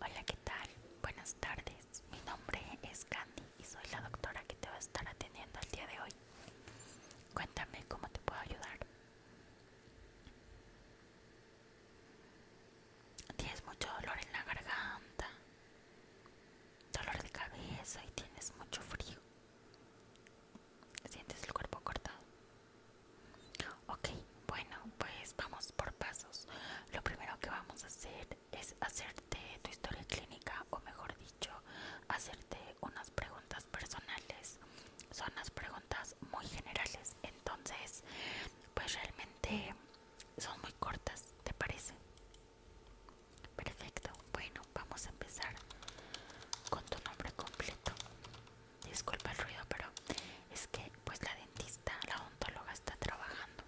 Hola, ¿qué tal? Buenas tardes. Mi nombre es Candy y soy la doctora que te va a estar atendiendo el día de hoy. Cuéntame cómo te puedo ayudar. Tienes mucho dolor en la garganta, dolor de cabeza y tienes mucho frío. Sientes el cuerpo cortado. Ok, bueno, pues vamos por pasos. Lo primero que vamos a hacer es hacerte tu historia clínica, o mejor dicho, hacerte unas preguntas personales. Son las preguntas muy generales, entonces, pues realmente son muy cortas, ¿te parece? Perfecto, bueno, vamos a empezar con tu nombre completo disculpa el ruido, pero es que pues la dentista, la odontóloga está trabajando.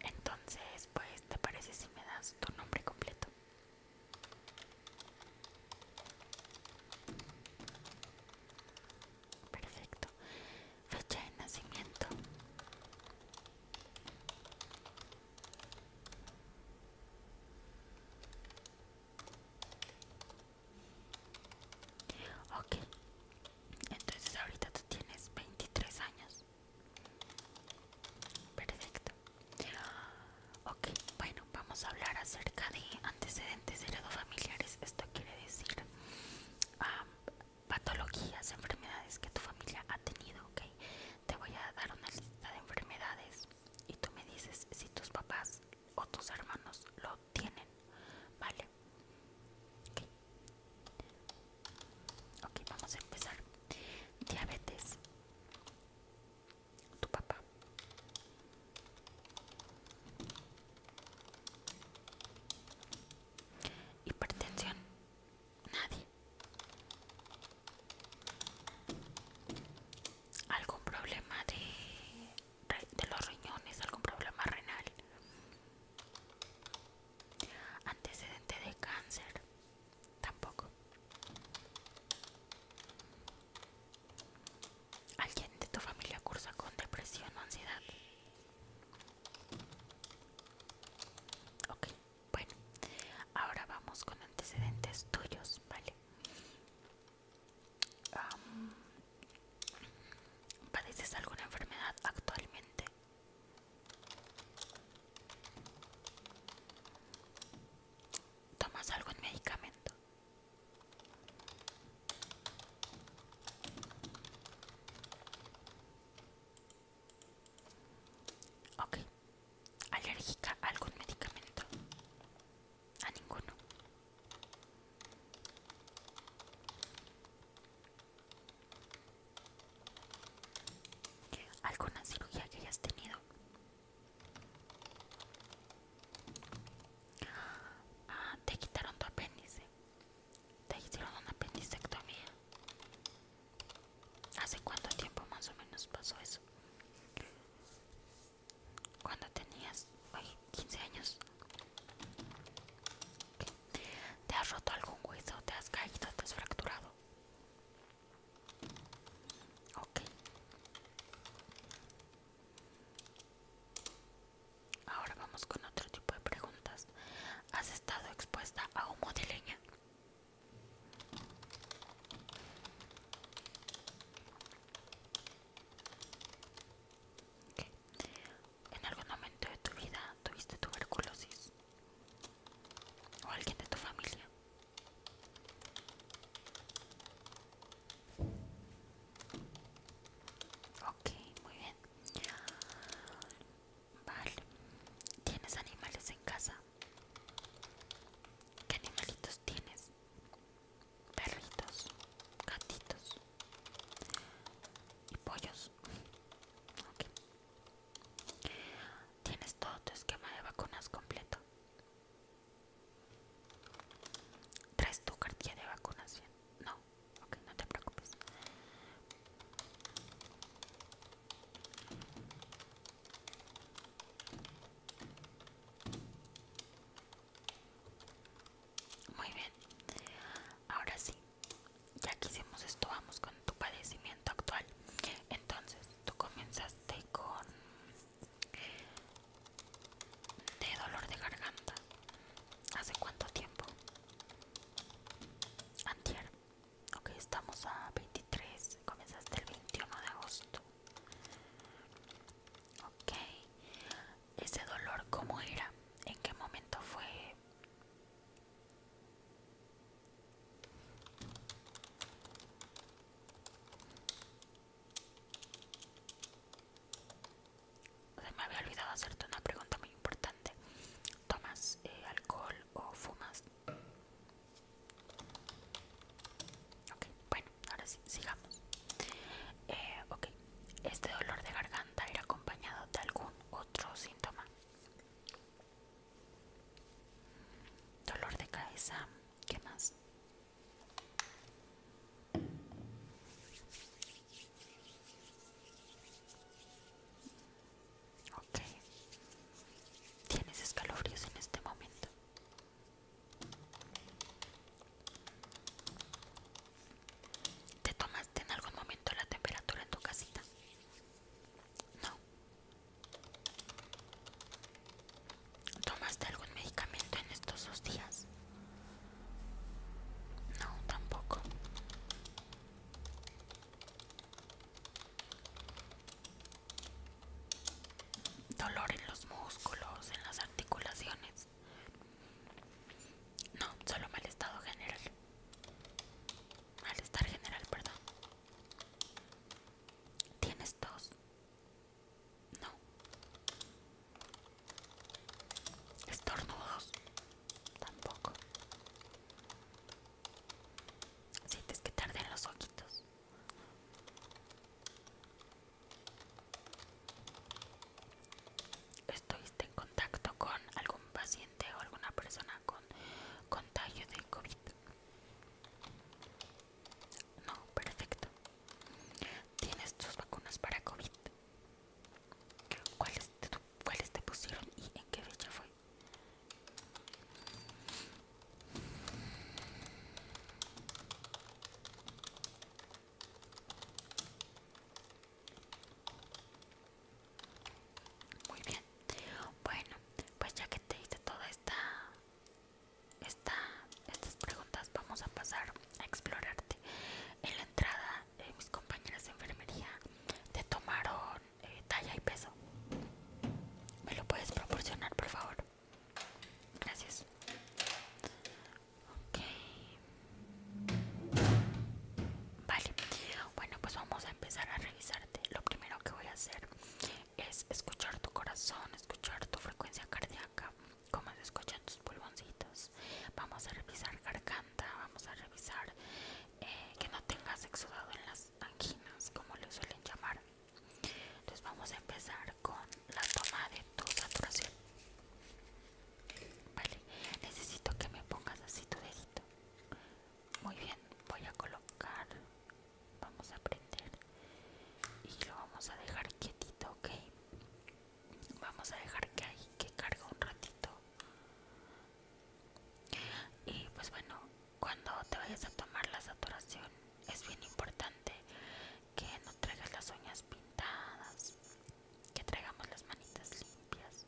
Entonces, pues, ¿te parece si me das tu nombre completo? Perfecto. Fecha de nacimiento. Ok, entonces ahorita tú tienes 23 años. Perfecto. Ok, bueno, vamos a hablar acerca de antecedentes heredofamiliares. Esto quiere decir patologías, enfermedades que tu familia ha tenido. Ok, te voy a dar una lista de enfermedades y tú me dices si tus papás o tus hermanos lo tienen, ¿vale? Okay. vamos a empezar. Diabetes. Tu papá. Hipertensión. Nadie algún problema de, de los riñones, algún problema renal, antecedente de cáncer, tampoco. ¿Alguien de tu familia cursa con depresión o ansiedad? Ok, bueno, ahora vamos con antecedentes tuyos, ¿vale? ¿Padeces alguna enfermedad actualmente? ¿Tomas algún medicamento? Ok, ¿Alérgica a algún medicamento? A ninguno. ¿Alguna cirugía que hayas tenido? Ah, te quitaron tu apéndice. Te hicieron una apendicectomía. ¿Hace cuánto tiempo más o menos pasó eso? cuando tenías 15 años. ¿Te has roto algún hueso? ¿Te has caído? ¿Te has fracturado? Ok. Ahora vamos con otro tipo de preguntas. ¿Has estado expuesta a humo de leña? ¿En algún momento de tu vida tuviste tuberculosis? ¿O alguien de tu familia? Ok, muy bien. Vale. ¿Tienes animales en casa? ¿Qué animalitos tienes? Perritos, gatitos y pollos. ¿Tienes todo tu esquema de vacunas completo? ¿Traes tu cartilla de vacunación? No, no te preocupes. Muy bien, ahora sí, ya que hicimos esto, vamos con tu padecimiento actual. Entonces, tú comenzaste con de dolor de garganta. ¿Hace cuánto tiempo? Antier. Ok, estamos a 23. Comenzaste el 21 de agosto. Ok. ¿Ese dolor cómo era? ¿En qué momento fue? Se me había olvidado hacerte una pregunta muy importante. ¿Tomas eh, alcohol o fumas? bueno, ahora sí, sigamos. Eh, este dolor de garganta era acompañado de algún otro síntoma. Dolor de cabeza, ¿qué más? Ok. ¿Tienes escalofríos en este momento? ¿Te tomaste en algún momento la temperatura en tu casita? No. ¿Tomaste algún medicamento en estos dos días? No, tampoco dolor en los músculos, en las articulaciones. No, solo mal estado general. Malestar general, perdón. ¿Tienes tos? No. ¿Estornudos? Tampoco. Sientes que tarden los ojitos. ¿Estuviste en contacto con algún paciente o alguna persona con contagio de COVID? No, perfecto. ¿Tienes tus vacunas para COVID? ¿Cuáles te, cuáles te pusieron y en qué fecha fue? Muy bien. Bueno, pues ya que te hice toda esta, estas preguntas, vamos a pasar a explorarte. En la entrada, de eh, mis compañeras de enfermería te tomaron eh, talla y peso. ¿Me lo puedes proporcionar, por favor? Gracias. Ok. Vale. Bueno, pues vamos a empezar a revisarte. Lo primero que voy a hacer es escuchar tu corazón, escuchar tu frecuencia cardíaca, cómo se escuchan tus pulmoncitos. Vamos a revisar garganta, vamos a revisar eh, que no tengas exudado en las anginas como le suelen llamar entonces vamos a empezar con la toma de tu saturación vale necesito que me pongas así tu dedito muy bien voy a colocar vamos a prender y lo vamos a dejar quietito ok vamos a dejar que ahí que cargue un ratito y pues bueno, cuando te vayas a tomar la saturación es bien importante que no traigas las uñas pintadas, que traigamos las manitas limpias.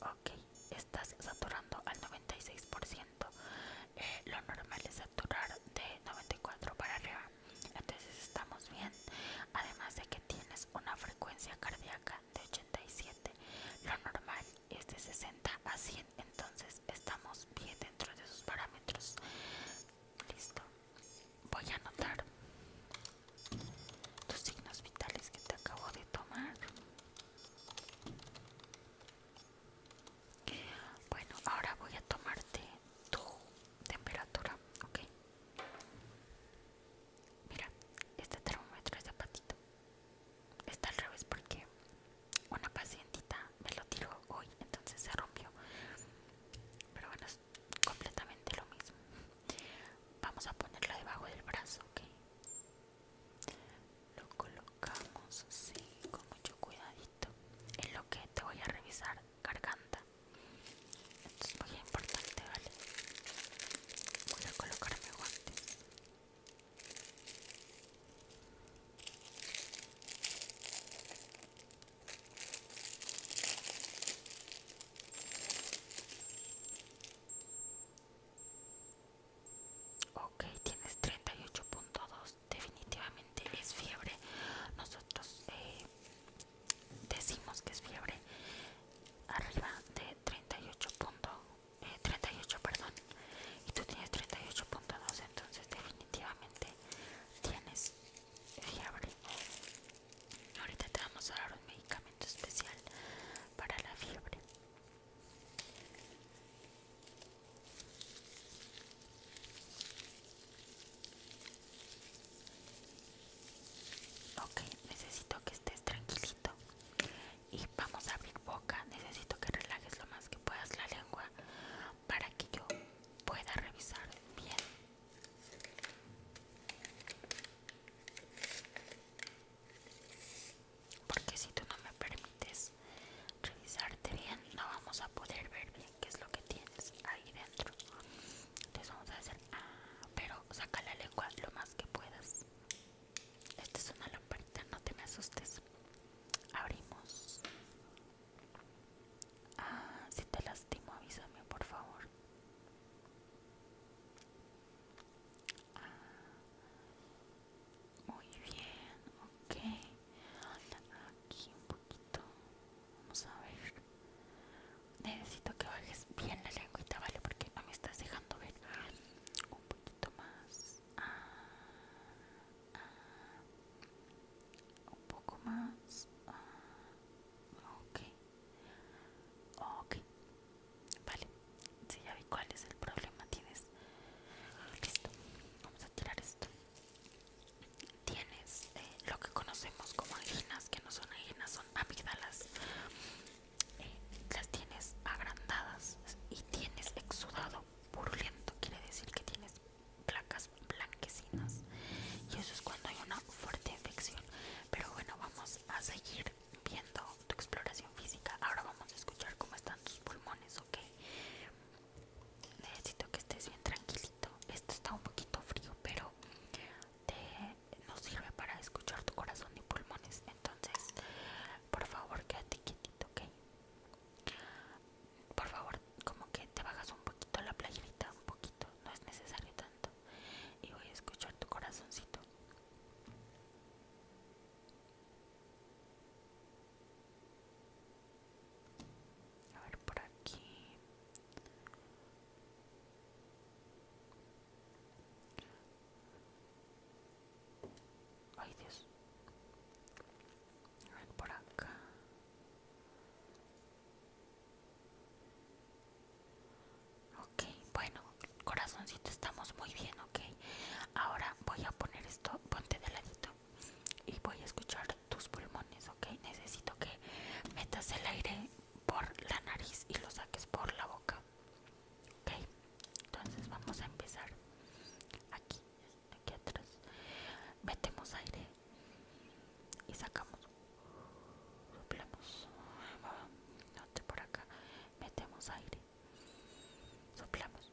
Ok, estás saturando al 96%. Eh, lo normal es saturar de 94 para arriba. Entonces estamos bien. Además de que tienes una frecuencia cardíaca de 87, lo normal es de 60 a 100, entonces estamos bien dentro de sus parámetros. Listo, voy a anotar tus signos vitales que te acabo de tomar. Bueno, ahora voy a tomarte tu temperatura, ok. Mira, este termómetro es de patito. Está al revés porque una pacientita me lo tiró hoy, entonces se rompió. Pero bueno, es completamente lo mismo. Vamos a ponerlo debajo del brazo, ok. Lo colocamos así, con mucho cuidadito. En lo que te voy a revisar garganta esto es muy importante, ¿vale? Voy a colocarme guantes. Ok, tienes 38.2, definitivamente es fiebre. Nosotros eh, decimos que es fiebre arriba de 38 38 eh, perdón y tú tienes 38.2 entonces definitivamente tienes fiebre ahorita te vamos a dar un medicamento especial para la fiebre Ok, necesito que estés tranquilito y vamos a abrir boca. Necesito que relajes lo más que puedas la lengua para que yo pueda revisar bien. Porque si tú no me permites revisarte bien, no vamos a poder ver bien qué es lo que tienes ahí dentro. Entonces vamos a hacer, ah, pero saca la lengua lo más que puedas. Esta es una lamparita, no te me asustes. Abrimos. Ah, si te lastimo, avísame, por favor. Ah, muy bien, ok aquí un poquito vamos a ver necesito que bajes bien la lengüita vale porque no me estás dejando ver un poquito más ah, ah. un poco más ah, ok vale si ya vi cuál es el problema tienes listo vamos a tirar esto tienes eh, lo que conocemos como anginas, que no son anginas, son amígdalas. Eh, las tienes agrandadas y tienes exudado purulento, quiere decir que tienes placas blanquecinas. Y eso es cuando hay una fuerte infección. Pero bueno, vamos a seguir viendo tu exploración física. Ahora vamos a escuchar cómo están tus pulmones, ¿ok? necesito que estés bien tranquilito. Esto está un poquito frío, pero te, sirve para escuchar tu corazón y pulmones. Entonces, por favor, quédate quietito, ¿ok? Por favor, como que te bajas un poquito la playita un poquito, no es necesario tanto. Y voy a escuchar tu corazoncito. A ver por aquí. Ay Dios. A ver por acá. Ok, bueno, corazoncito, estamos muy bien, ok. Ahora voy a poner esto, ponte de ladito y voy a escuchar tus pulmones, ok. Necesito que metas el aire por la nariz y lo saques por la boca, ok. Entonces vamos a empezar aquí, aquí atrás. Metemos aire y sacamos, soplamos, ah, note por acá, metemos aire, soplamos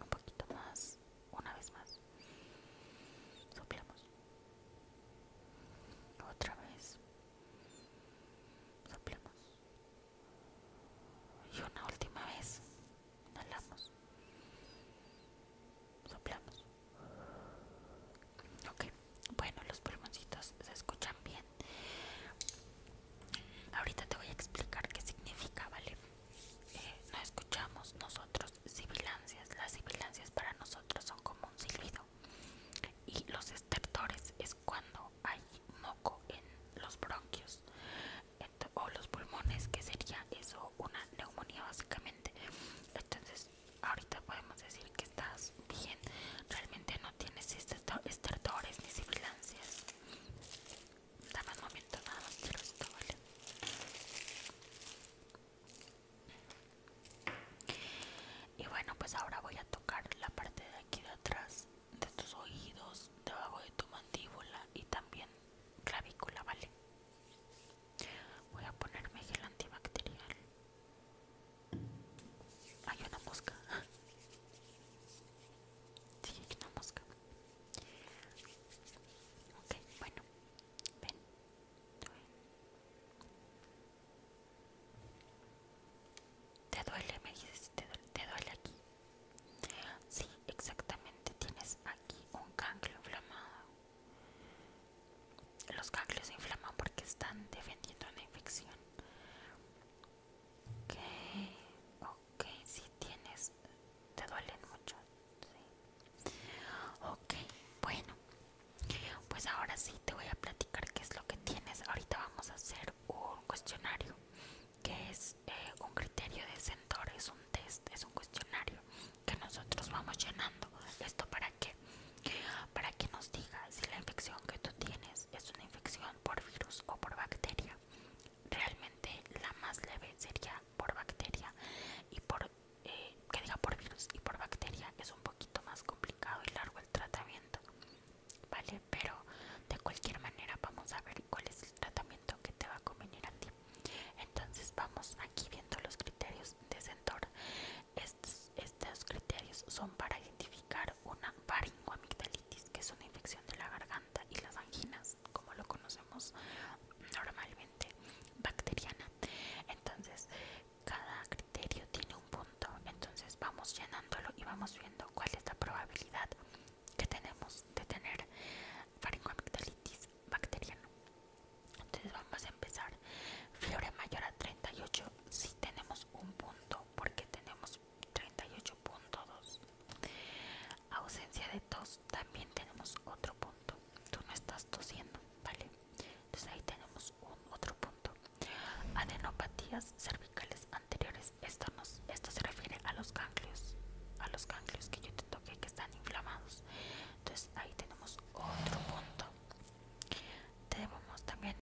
un poquito más una vez más soplamos otra vez soplamos y una última vez inhalamos soplamos ok bueno los pulmoncitos se escuchan bien Ahorita te voy a explicar qué significa, ¿vale? Eh, no escuchamos nosotros sibilancias. Las sibilancias para nosotros son como un silbido. Y los estertores es cuando hay moco en los bronquios o los pulmones, que sería eso, una neumonía básicamente. Entonces, ahorita podemos decir que estás bien. Realmente no tienes estertores ni sibilancias. Dame un momento nada más ¿vale? Y bueno, pues ahora voy a tocar la parte de aquí de atrás, de tus oídos, debajo de tu mandíbula y también clavícula, ¿vale? Voy a ponerme gel antibacterial. Hay una mosca. Sigue que no mosca. Ok, bueno, ven. ¿Te duele? Me dices, ¿te duele, te duele aquí? Sí, exactamente. Tienes aquí un ganglio inflamado. Los ganglios se inflaman porque están defendiendo una infección. Ok, ok, si tienes, te duelen mucho. Ok, bueno, pues ahora sí te voy a platicar qué es lo que tienes. Ahorita vamos a hacer un cuestionario, que es eh, un criterio de Centaur, es un test, es un cuestionario que nosotros vamos llenando. ¿Esto para qué? Para que nos diga si la infección que tú tienes es una infección por virus o por bacteria. Realmente la más leve sería por bacteria y por eh, que diga por virus y por bacteria es un poquito más complicado y largo el tratamiento, vale. Pero de cualquier manera vamos a ver cuál es el tratamiento que te va a convenir a ti. Entonces vamos aquí viendo los criterios de Centor. estos criterios son para identificar una faringoamigdalitis, que es una infección de la garganta y las anginas, como lo conocemos normalmente, bacteriana. Entonces, cada criterio tiene un punto, entonces vamos llenándolo y vamos viendo cuál es la probabilidad que tenemos de tener faringoamigdalitis bacteriana. Entonces vamos a empezar. Fiebre mayor a 38 si tenemos un punto porque tenemos 38.2 ausencia de tos también tenemos otro punto tú no estás tosiendo vale entonces ahí tenemos otro punto adenopatías cervicales anteriores esto esto se refiere a los ganglios a los ganglios que yo te toqué que están inflamados entonces ahí tenemos otro punto tenemos también